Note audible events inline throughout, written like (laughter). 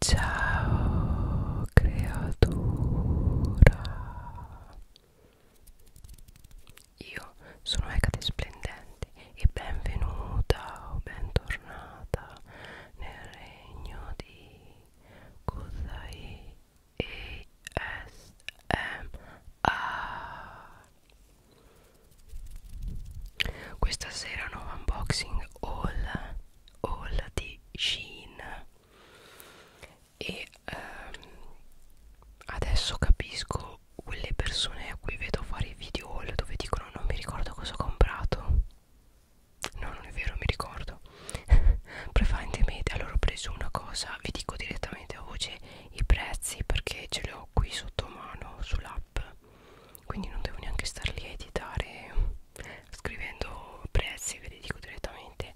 Ciao creatura Io sono Ecate Splendente e benvenuta o bentornata nel regno di Kusai ESMA Questa sera nuovo unboxing haul All di Shein e ehm, adesso capisco quelle persone a cui vedo fare i video haul dove dicono non mi ricordo cosa ho comprato no non è vero mi ricordo (laughs) prevalentemente allora ho preso una cosa vi dico direttamente a voce i prezzi perché ce li ho qui sotto mano sull'app quindi non devo neanche star lì a editare scrivendo prezzi ve li dico direttamente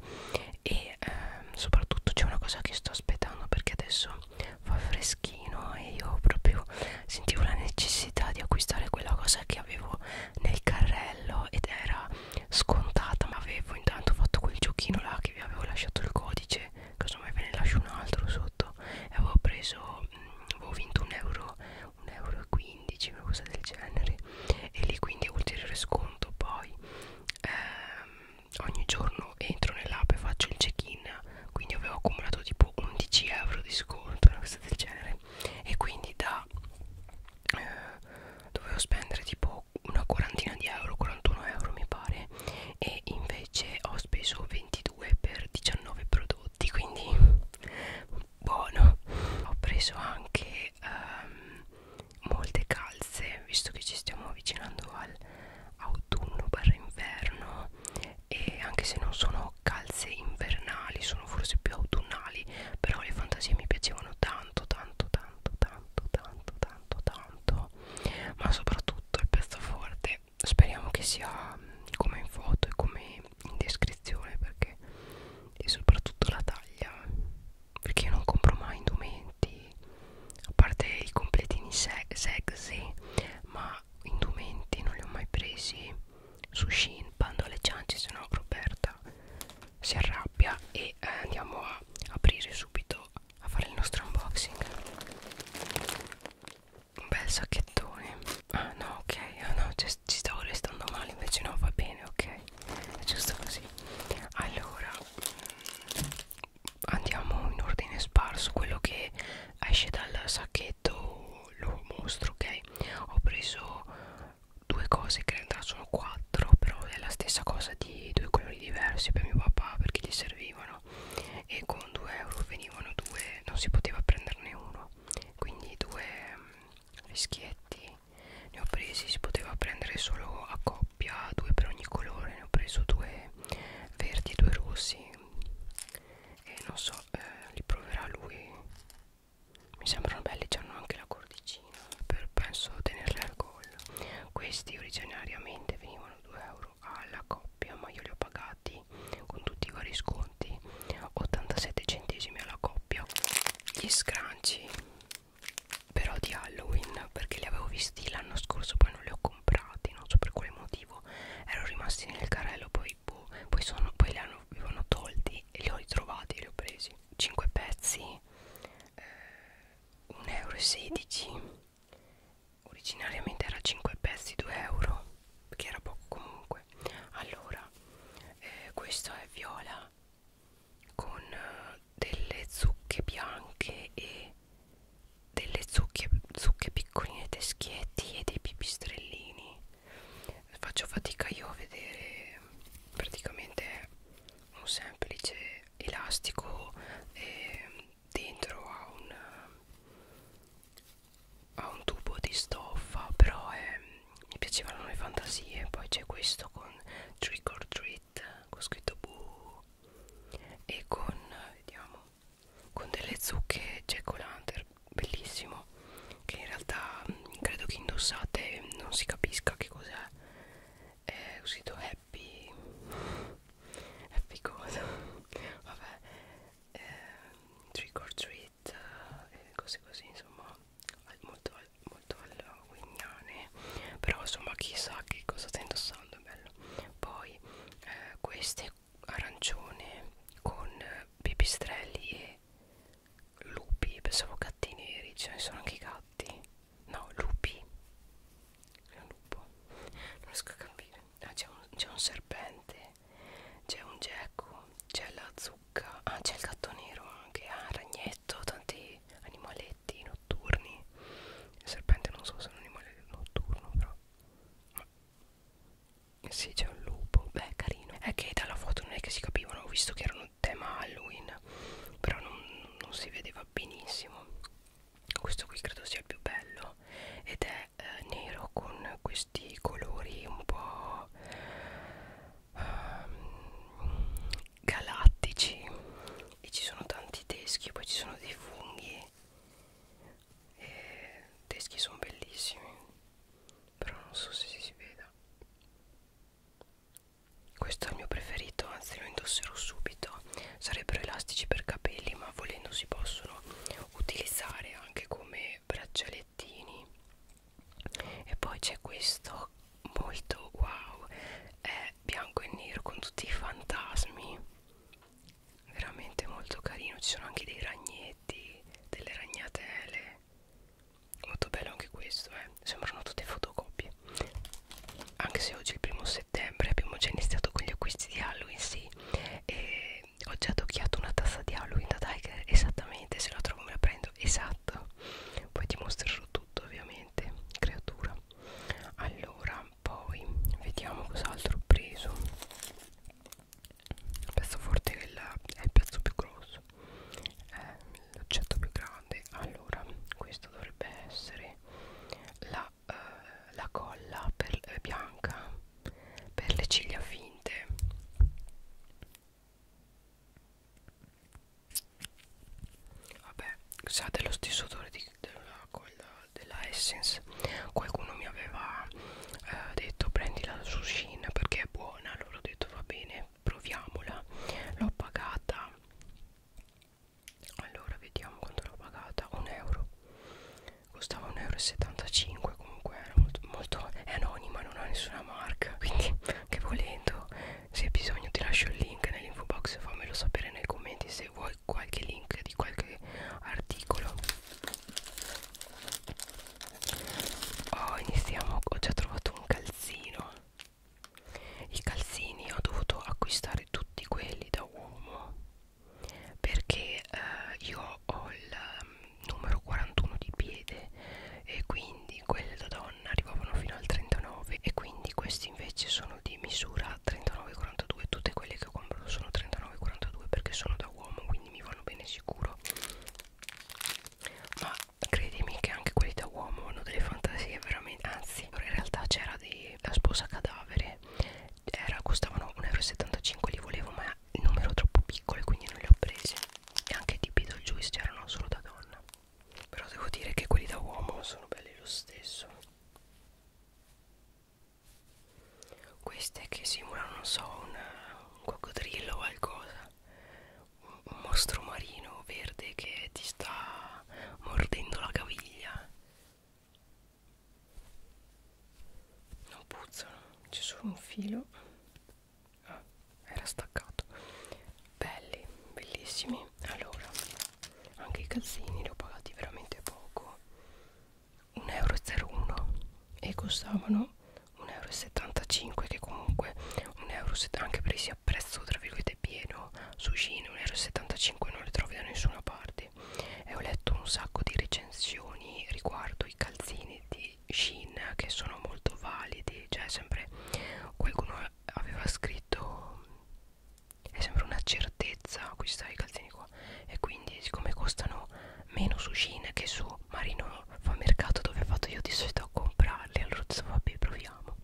e ehm, soprattutto c'è una cosa che sto aspettando perché adesso fa freschino e io proprio sentivo la necessità di acquistare quella cosa che avevo nel carrello ed era scontata ma avevo intanto fatto quel giochino là che vi avevo lasciato il codice casomai ve ne lascio un altro sotto e avevo preso mh, mm, avevo vinto un euro 1,15 euro una cosa del genere e lì quindi ulteriore sconto poi ehm, ogni giorno entro nell'app e faccio il check in quindi avevo accumulato tipo 11 euro di sconto una cosa del genere e quindi da eh, dovevo spendere tipo una quarantina di euro 41 euro mi pare e invece ho speso 22 per 19 prodotti quindi buono ho preso anche um, molte calze visto che ci stiamo avvicinando al autunno barra inverno e anche se non sono calze invernali sono forse più autunnali però le fantasie mi piacevano tanto tanto tanto tanto tanto tanto tanto ma soprattutto il pezzo forte speriamo che sia mm, come in foto e come in descrizione perché e soprattutto la taglia perché io non compro mai indumenti a parte i completini se sexy ma indumenti non li ho mai presi su Shin bando alle ciance se no Roberta si arrabbia e eh, andiamo a aprire subito a fare il nostro unboxing un bel sacchettone ah no ok ah no c'è ci stavo restando male invece no va bene ok è giusto così allora andiamo in ordine sparso quello che esce dal sacchetto lo mostro ok ho preso due cose che in realtà sono quattro però è la stessa cosa di due colori diversi per mio papà perché gli servivano e con 2 euro venivano due non si poteva prenderne uno quindi due rischietti ne ho presi si poteva prendere solo a coppia due per ogni colore ne ho preso due verdi e due rossi e non so eh, li proverà lui mi sembrano belli ci hanno anche la cordicina per penso tenerle al collo questi originariamente venivano 2 euro alla coppia ma io li ho pagati con tutti i vari sconti 87 centesimi alla coppia doppio gli scrunchie però di Halloween perché li avevo visti l'anno scorso poi non li ho comprati non so per quale motivo ero rimasti nel carrello poi boh, poi, sono, poi li hanno, avevano tolti e li ho ritrovati e li ho presi 5 pezzi eh, 1,16 euro originariamente era 5 pezzi 2 euro perché era poco comunque comunque allora eh, questo è viola con eh, delle zucche bianche e delle zucche, zucche piccoline teschietti e dei pipistrellini faccio fatica io a vedere praticamente un semplice elastico eh, dentro a un ha un tubo di stoffa però è, mi piacevano le fantasie poi c'è questo con trick or treat con scritto boo e con vediamo con delle zucche jack o' lantern bellissimo che in realtà mm, credo che indossate non si capisca che cos'è è uscito happy happy cosa (laughs) vabbè eh, trick or treat bicicletta eh, e cose così insomma molto, molto alla guignane però insomma chissà che cosa sta indossando è bello poi eh, queste arancione con pipistrelli e lupi pensavo gatti neri ce ne sono anche i gatti no lupi è un lupo non riesco a capire ah, c'è un, un serpente c'è un gecko, c'è la zucca, ah c'è il gatto nero anche, ah ragnetto, tanti animaletti notturni il serpente non so se è un animale notturno però ma sì c'è un lupo, beh carino è che dalla foto non è che si capivano, ho visto che erano tema Halloween però non, non si vedeva benissimo questo qui credo sia il più bello ed è eh, nero con questo questi colori un po' um, galattici e ci sono tanti teschi poi ci sono dei funghi e i teschi sono bellissimi però non so se si veda questo è il mio preferito anzi lo indosserò subito sarebbero elastici per capelli ma volendo si possono utilizzare anche come braccialettini e poi c'è questo molto wow è bianco e nero con tutti i fantasmi veramente molto carino ci sono anche dei ragnetti delle ragnatele molto bello anche questo eh. sembrano tutte fotocopie anche se oggi è il primo settembre abbiamo già iniziato con gli acquisti di Halloween sì e ho già tocchiato una tazza di Halloween da Tiger esattamente se la trovo me la prendo momento esatto poi ti mostrerò tutto ovviamente creatura allora poi vediamo cos'altro ho preso il pezzo forte è, la, è il pezzo più grosso l'oggetto più grande allora questo dovrebbe essere la, eh, la colla per, eh, bianca per le ciglia finte Vabbè, sa dello stesso odore di, della, quella, della Essence. Qualcuno mi aveva eh, detto prendi la Sushin perché è buona. Allora ho detto va bene, proviamola. L'ho pagata. Allora vediamo quanto l'ho pagata. 1 euro. Costava 1,75 euro comunque era molto, molto è anonima non ha nessuna marca quindi (laughs) che volendo se hai bisogno ti lascio il link nell'info box fammelo sapere nei commenti se vuoi qualche link di qualche articolo oh iniziamo ho già trovato un calzino i calzini ho dovuto acquistare tutti quelli da uomo perché eh, io ho il ehm, numero 41 di piede e quindi quelle da donna arrivavano fino al 39 e quindi questi invece sono di misura 39-42 tutte quelle che compro sono 39-42 perché sono da uomo quindi mi vanno bene sicuro ma credimi che anche quelli da uomo hanno delle fantasie veramente anzi in realtà c'era la sposa cadavere era, costavano 1,75 euro li volevo ma il numero troppo piccole quindi non le ho prese e anche di Beetlejuice c'erano solo da donna però devo dire che quelli da uomo sono belli lo stesso queste che simulano non so un, un coccodrillo o qualcosa un, un mostro marino verde che ti sta mordendo la caviglia non puzzano c'è solo un filo ah, era staccato belli bellissimi allora anche i calzini li ho pagati veramente poco 1,01 euro e costavano 1,75 euro che comunque 1,70 euro anche presi a prezzo tra virgolette pieno Sushine 1,75 euro non le trovi da nessuna parte e ho letto un sacco di recensioni riguardo i calzini di di Shin che sono molto validi cioè sempre qualcuno aveva scritto è sempre una certezza acquistare i calzini qua e quindi siccome costano meno su Shin che su Marino fa mercato dove vado io di solito a comprarli allora ho detto vabbè proviamo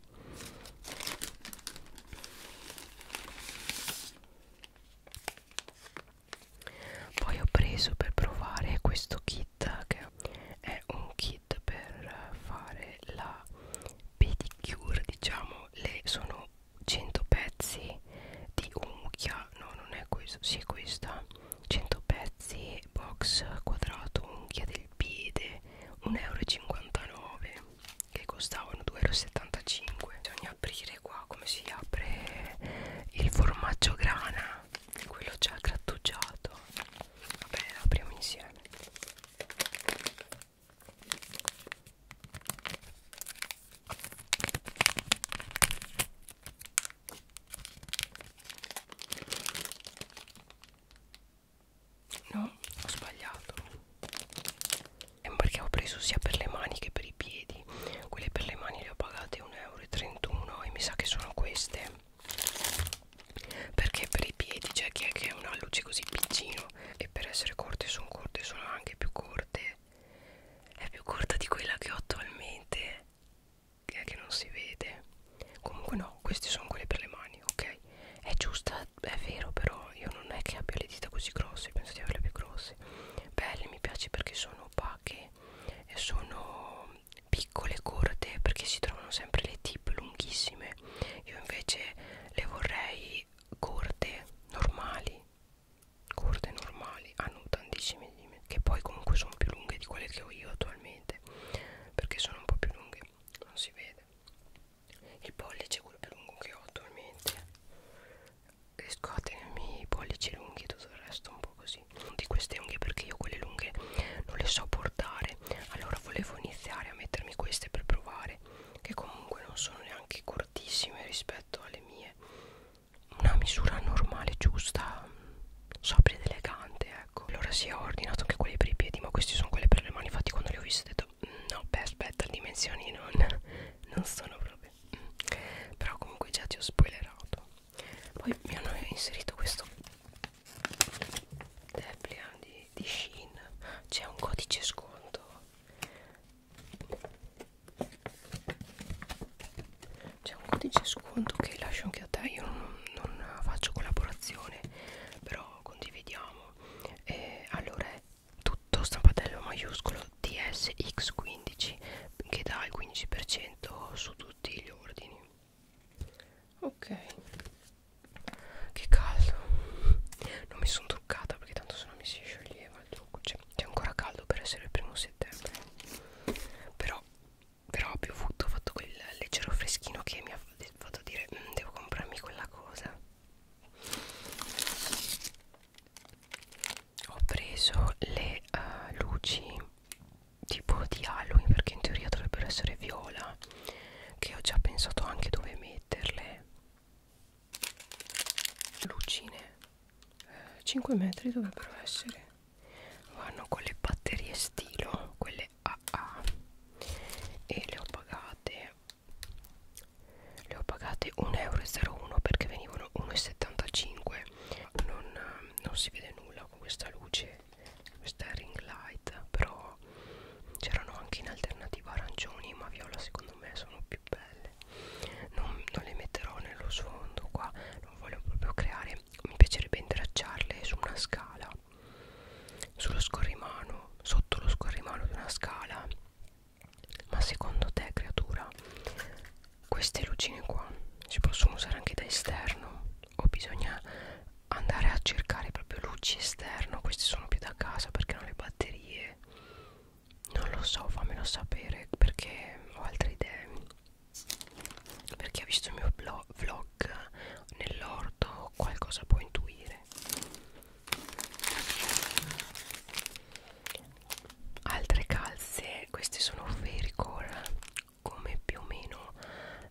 poi ho preso per provare questo kit kit che è un kit per fare la pedicure diciamo le sono 100 pezzi di unghia no non è questo si sì, è questa 100 pezzi box quadrato unghia del piede 1,59€ che costavano 2,75 euro bisogna aprire qua come si apre il formaggio grana quello già grattugiato vabbè apriamo insieme no ho sbagliato è perché ho preso sia per le mani che per i piedi quelle per le mani le ho pagate 1,31 euro e mi sa che sono queste perché per i piedi c'è cioè chi è che è una luce così piccino e per essere corte sono corte sono anche più corte è più corta di quella che ho attualmente che, è che non si vede comunque no queste sono quelle per le mani ok è giusta è vero però io non è che abbia le dita così grosse penso di averle più grosse belle mi piace perché sono opache e sono piccole corte perché si trovano sempre le tip lunghissime io invece le vorrei corte normali corte normali hanno tantissime di me che poi comunque sono più lunghe di quelle che ho io attualmente perché sono un po' più lunghe non si vede il pollice è quello più lungo che ho attualmente riesco a tenermi i pollici lunghi e tutto il resto un po' così lunghi di queste unghie perché io quelle lunghe non le so portare allora volevo iniziare a mettermi queste per provare che comunque non sono neanche cortissime rispetto alle mie una misura normale giusta sobria ed elegante ecco allora si sì, ho ordinato anche quelle per i piedi ma questi sono quelle per le mani infatti quando le ho viste ho detto mm, no beh aspetta le dimensioni non, (laughs) non sono proprio mm. però comunque già ti ho spoilerato poi mi hanno inserito questo Deplian di, di Shin c'è un codice sconto c'è un codice sconto che lascio anche a te io non, non faccio collaborazione però condividiamo e allora è tutto stampatello maiuscolo DSX15 che dà il 15% su tutti gli ordini ok che caldo non mi sono truccata perché tanto se no mi si scioglieva il trucco cioè, c'è ancora caldo per essere il primo settembre però però ho piovuto ho fatto quel leggero freschino che mi ha fatto dire mm, devo comprarmi quella cosa ho preso le uh, luci tipo di Halloween perché in teoria dovrebbero essere viola che ho già pensato anche dove metterle lucine eh, 5 metri dovrebbero essere vanno con le batterie stilo quelle AA e le ho pagate le ho pagate 1,01 euro perché venivano 1,75 non, non si vede nulla con questa luce questa è ring light però c'erano anche in alternativa arancioni ma viola secondo me sono più belle non, non le metterò nello sfondo qua non voglio proprio creare mi piacerebbe intracciarle su una scala sullo scorrimano sotto lo scorrimano di una scala ma secondo te creatura queste lucine qua si possono usare anche da esterno o bisogna andare a cercare proprio luci esterno queste sono più da casa perché hanno le batterie non lo so fammelo sapere perché ho altre idee perché ha visto il mio blog, vlog nell'orto qualcosa può intuire altre calze queste sono Fairycore come più o meno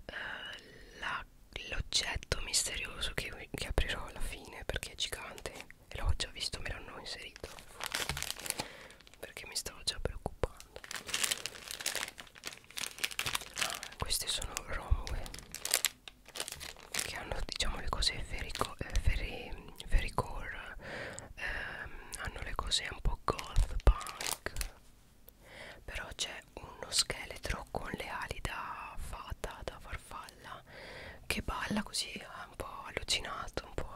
eh, l'oggetto misterioso che, che aprirò alla fine perché è gigante e l'ho già visto me l'hanno inserito perché mi stavo già preoccupando ah, queste sono romue che hanno diciamo le cose ferico, eh, feri, fericore ehm, hanno le cose un po' goth punk però c'è uno scheletro con le ali da fata, da farfalla che balla così un po' allucinato, un po'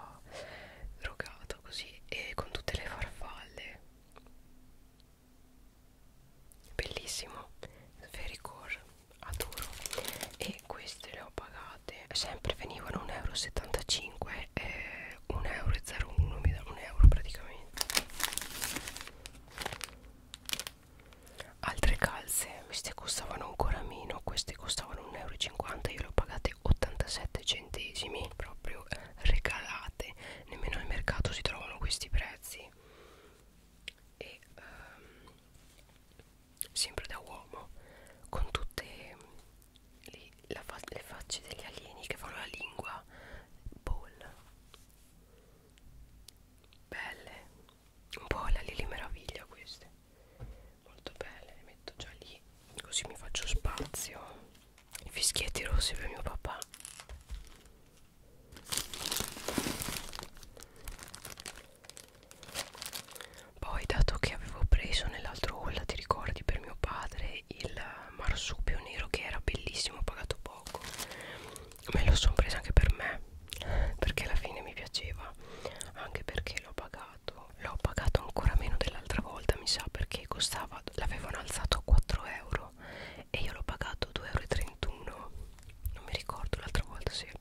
drogato così e con tutte le farfalle bellissimo Fericore adoro e queste le ho pagate sempre venivano 1,75 euro e 1,01 euro mi danno un euro praticamente altre calze queste costavano ancora meno queste costavano 1,50 euro io le ho pagate 87 centesimi proprio regalate nemmeno al mercato si trovano questi prezzi e um, sempre da uomo con tutte le poi la fa le facce degli alieni che fanno la lingua ball belle un po' la lili meraviglia queste molto belle le metto già lì così mi faccio spazio i fischietti rossi per mio papà poi dato che avevo preso nell'altro haul ti ricordi per mio padre anche il marsupio nero che era bellissimo ho pagato poco me lo sono preso anche per me perché alla fine mi piaceva anche perché l'ho pagato l'ho pagato ancora meno dell'altra volta mi sa perché costava l'avevano alzato a 4 euro e io l'ho pagato 2,31 euro non mi ricordo l'altra volta se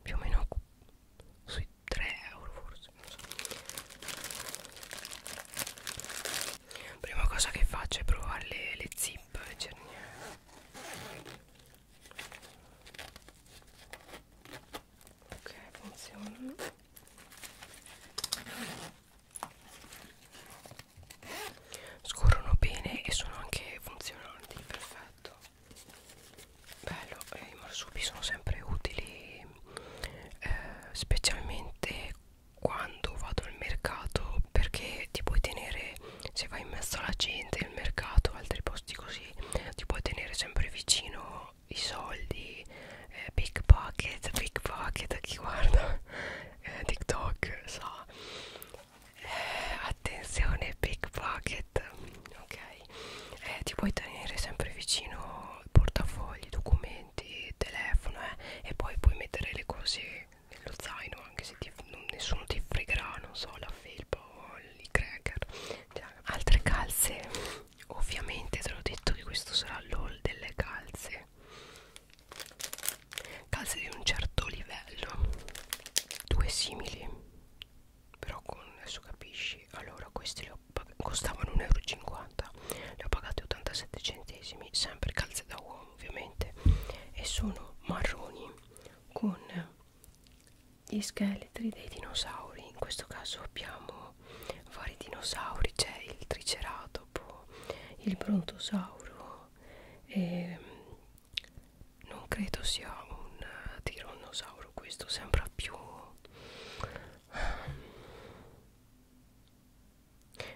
più o meno sui 3 euro forse non so prima cosa che faccio è provare le, le zip le cerniere ok funzionano scorrono bene e sono anche funzionanti perfetto bello eh, i marsupi sono sempre utili eh, specialmente quando vado al mercato perché ti puoi tenere se vai in mezzo alla gente il mercato altri posti così ti puoi tenere sempre vicino i soldi eh, pickpocket pickpocket chi guarda (laughs) eh, tiktok sa eh, attenzione pickpocket ok eh, ti puoi tenere sempre vicino portafogli documenti documenti, telefono eh, e poi puoi mettere le cose nello zaino anche se ti, non, nessuno ti fregherà, non so, la felpa o i cracker. Cioè, altre calze, ovviamente te l'ho detto che questo sarà l'all delle calze. Calze di un certo livello, due simili, però con adesso capisci. Allora, queste le ho, costavano 1,50 euro 50 ne ho pagati 87 centesimi sempre calze da uomo ovviamente e sono marroni con gli scheletri dei dinosauri in questo caso abbiamo vari dinosauri c'è il triceratopo il brontosauro e ehm, non credo sia un tirannosauro questo sembra più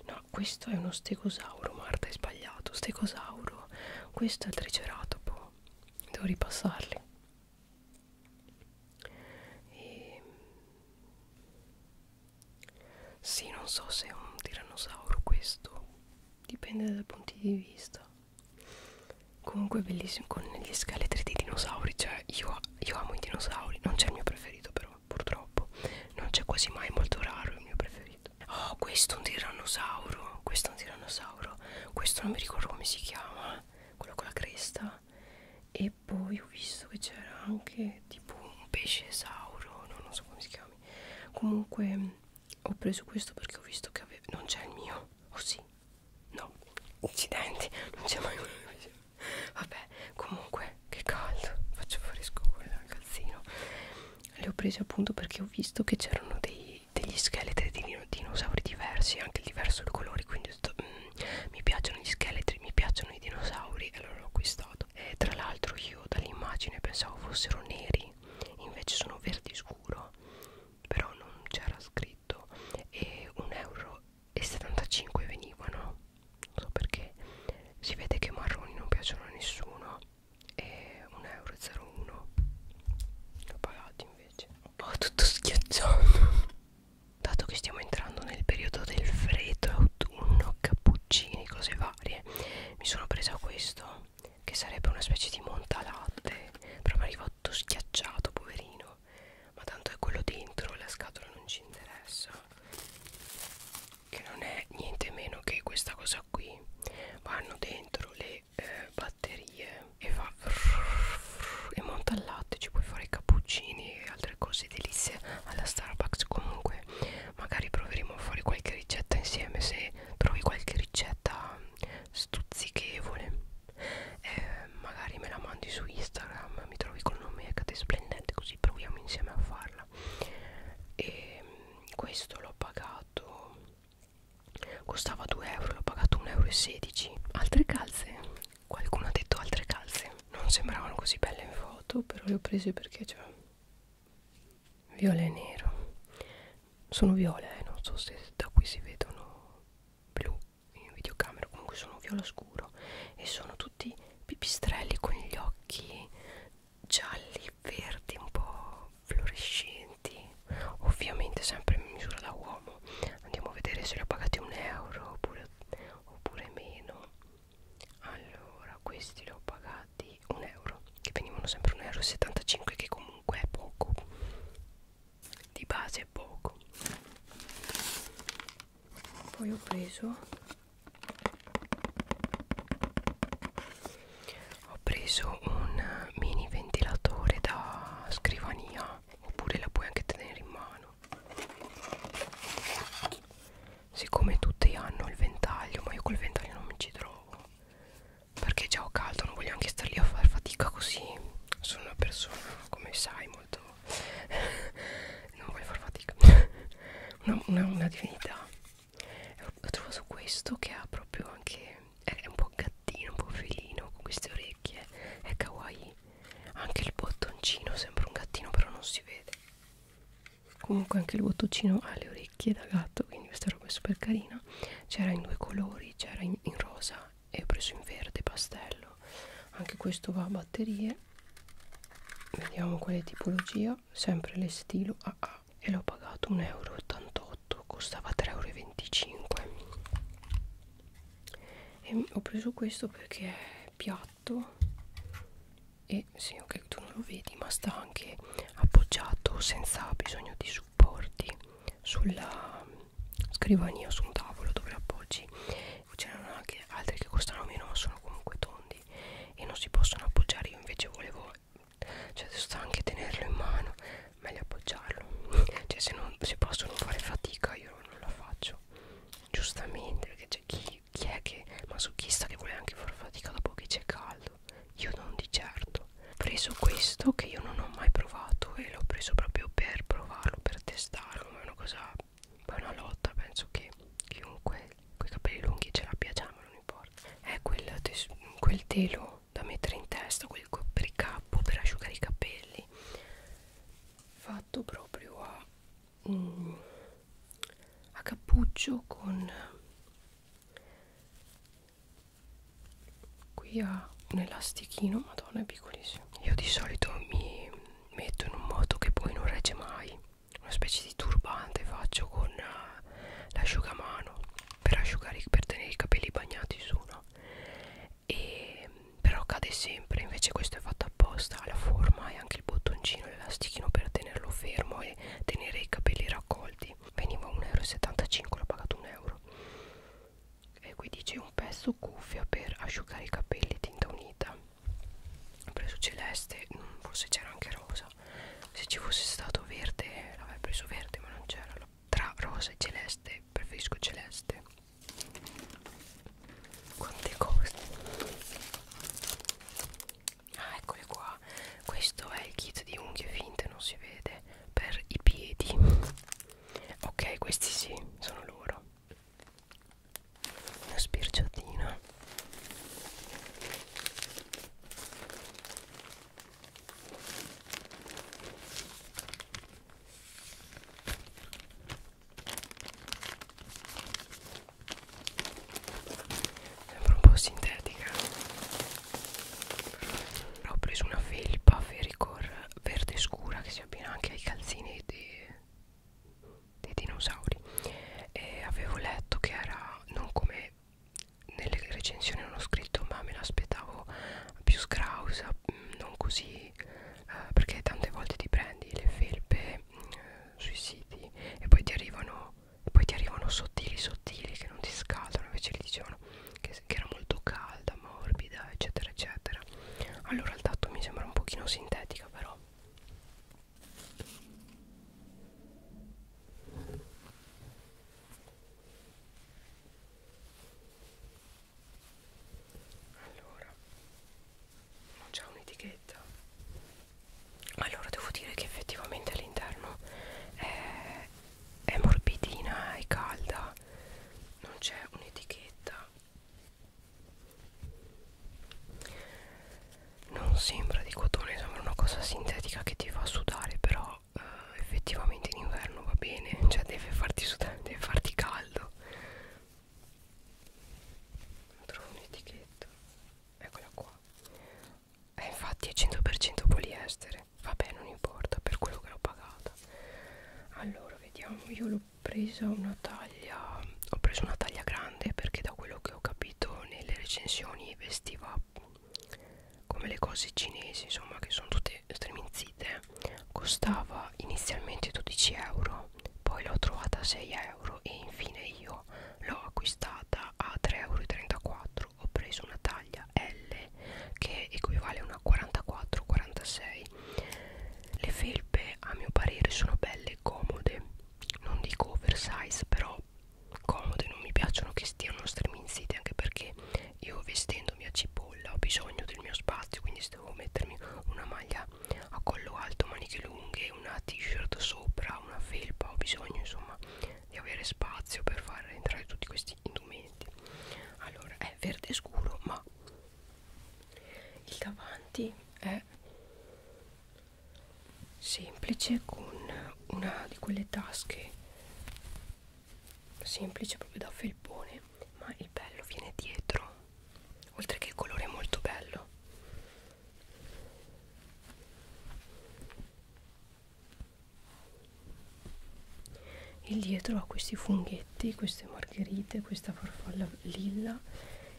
No, questo è uno stegosauro, Marta, hai sbagliato. Stegosauro. Questo è il triceratopo. Boh, devo ripassarli. E... Ehm, sì, non so se è un tirannosauro questo. Dipende dai punti di vista. Comunque è bellissimo con gli scheletri dei dinosauri. Cioè, io, io amo i dinosauri. Non c'è il mio preferito, però vero purtroppo non c'è quasi mai molto raro il mio preferito oh questo è un tirannosauro questo è un tirannosauro questo non mi ricordo come si chiama quello con la cresta e poi ho visto che c'era anche tipo un pesce esauro no, non so come si chiami comunque ho preso questo perché ho visto che aveva non c'è il mio o oh, sì no incidenti non c'è mai quello che Vabbè, comunque, che caldo, faccio fresco con il calzino. Le ho prese appunto perché ho visto che c'erano degli scheletri di dinosauri diversi, anche diverso il colore, quindi sto, mm, mi piacciono gli scheletri, mi piacciono i dinosauri e allora l'ho acquistato. E tra l'altro io dall'immagine pensavo fossero neri, invece sono verdi scuro, però non c'era scritto e un euro e 75 venivano non so perché si vede che i marroni non piacciono a nessuno e 1,01€ l'ho pagato invece ho tutto schiacciato dato che stiamo entrando nel periodo del freddo autunno cappuccini cose varie mi sono presa questo che sarebbe una specie di montalatte proprio arriva tutto schiacciato poverino ma tanto è quello dentro la scatola non ci interessa che non è niente meno che questa cosa qui vanno dentro le eh, batterie e fa e monta il latte ci puoi fare i cappuccini e altre cose delizie alla Starbucks comunque magari proveremo a fare qualche ricetta insieme se trovi qualche ricetta stuzzichevole eh, magari me la mandi su Instagram mi trovi col nome Cate Splendente così proviamo insieme a farla farla e mm, questo l'ho pagato costava 2 euro l'ho pagato 1,16 euro altre calze qualcuno ha detto altre calze non sembravano così belle in foto però le ho prese perché c'è cioè, viola e nero sono viola e eh, non so se da qui si vedono blu in videocamera comunque sono viola scuro e sono tutte tutti pipistrelli con gli occhi gialli, verdi, un po' fluorescenti ovviamente sempre in misura da uomo andiamo a vedere se li ho pagati un euro oppure, oppure meno allora questi li ho pagati un euro che venivano sempre 1,75 euro che comunque è poco di base è poco poi ho preso ho preso un mini ventilatore da scrivania oppure la puoi anche tenere in mano siccome tutti hanno il ventaglio ma io col ventaglio non mi ci trovo perché già ho caldo non voglio anche stare lì a far fatica così sono una persona come sai molto non voglio far fatica (laughs) una, una, una divinità lo trovo su questo che ha proprio anche è un po' gattino un po' felino con queste orecchie è kawaii anche il bottoncino sembra un gattino però non si vede comunque anche il bottoncino ha le orecchie da gatto quindi questa roba è super carina c'era in due colori c'era in, in rosa e ho preso in verde pastello anche questo va batterie vediamo quale tipologia sempre le stilo AA e l'ho pagato 1,88 euro costava 3,25 euro e ho preso questo perché è piatto e sì ok tu non lo vedi ma sta anche appoggiato senza bisogno di supporti sulla scrivania su un tavolo dove appoggi ce ne sono anche altri che costano meno ma sono comunque tondi e non si possono appoggiare io invece volevo cioè sta anche tenerlo in mano meglio appoggiarlo (laughs) cioè se, non, se posso non fare fatica io non la faccio giustamente perché c'è chi, chi è che masochista che vuole anche far fatica dopo che c'è caldo io non di certo ho preso questo che io non ho mai provato e l'ho preso proprio per provarlo per testarlo ma è una cosa poi una lotta penso che chiunque con i capelli lunghi ce l'abbia già ma non importa è quel, tes quel telo da mettere in testa quel copricapo per asciugare i capelli fatto proprio a, mm, a cappuccio con qui ha un elastichino madonna è piccolissimo io di solito mi metto in un modo che poi non regge mai una specie di turbante faccio con uh, l'asciugamano per asciugare per tenere i capelli bagnati su no? e però cade sempre invece questo è fatto apposta la forma e anche il bottoncino l'elastichino per tenerlo fermo e tenere i capelli raccolti veniva 1,75 euro l'ho pagato 1 euro e qui dice un pezzo cuffia per asciugare i capelli tinta unita ho preso celeste mm, forse c'era anche rosa se ci fosse stato verde l'avrei preso verde ma non c'era tra rosa e celeste preferisco celeste quante cose ah eccole qua questo è il kit di unghie finte non si vede per i piedi ok questi sì sono loro una sbirciatina sembra un po' sintetica Però ho preso una felpa fericor verde scura che si abbina anche ai calzini di dei dinosauri e avevo letto che era non come nelle recensioni non ho scritto ma me l'aspettavo più scrausa mm, non così eh, perché tante volte ti prendi le felpe eh, sui siti e poi ti arrivano poi ti arrivano sottili sottili che non ti scaldano invece li dicevano che, che era molto calda morbida eccetera eccetera allora il tatto mi sembra un pochino sintetica però allora non c'è un'etichetta allora devo dire che effettivamente all'interno è, è morbidina e calda non c'è un'etichetta non sembra di cotone sembra una cosa sintetica che ti fa sudare però eh, effettivamente in inverno va bene cioè deve farti sudare deve farti caldo non trovo un'etichetta eccola qua eh, infatti è 100% poliestere vabbè non importa per quello che l'ho pagata allora vediamo io l'ho presa una taglia ho preso una taglia grande perché da quello che ho capito seguito nelle recensioni vestiva come le cose cinesi insomma che sono tutte streminzite costava inizialmente 12 euro poi l'ho trovata a 6 euro e infine io l'ho acquistata a 3,34 euro ho preso una taglia L che equivale a una 44-46 le felpe a mio parere sono belle e comode non dico oversize però comode non mi piacciono che stiano striminzite anche perché io vestendomi a cipolla ho bisogno del mio spazio quindi se devo mettermi una maglia a collo alto maniche lunghe una t-shirt sopra una felpa ho bisogno insomma di avere spazio per far entrare tutti questi indumenti allora è verde scuro ma il davanti è semplice con una di quelle tasche semplice proprio da felpone ma il bello viene dietro oltre che il colore è molto bello il dietro ha questi funghetti queste margherite questa farfalla lilla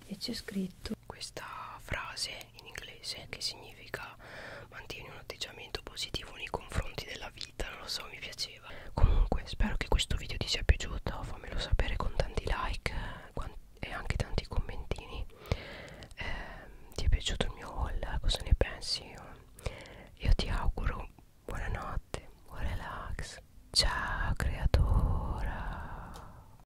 e c'è scritto detto questa frase in inglese che significa mantieni un atteggiamento positivo nei confronti della vita, non lo so, mi piaceva. Comunque spero che questo video ti sia piaciuto, fammelo sapere con tanti like e anche tanti commentini. Eh, ti è piaciuto il mio haul? Cosa ne pensi? Io ti auguro buonanotte, buon relax. Ciao creatora!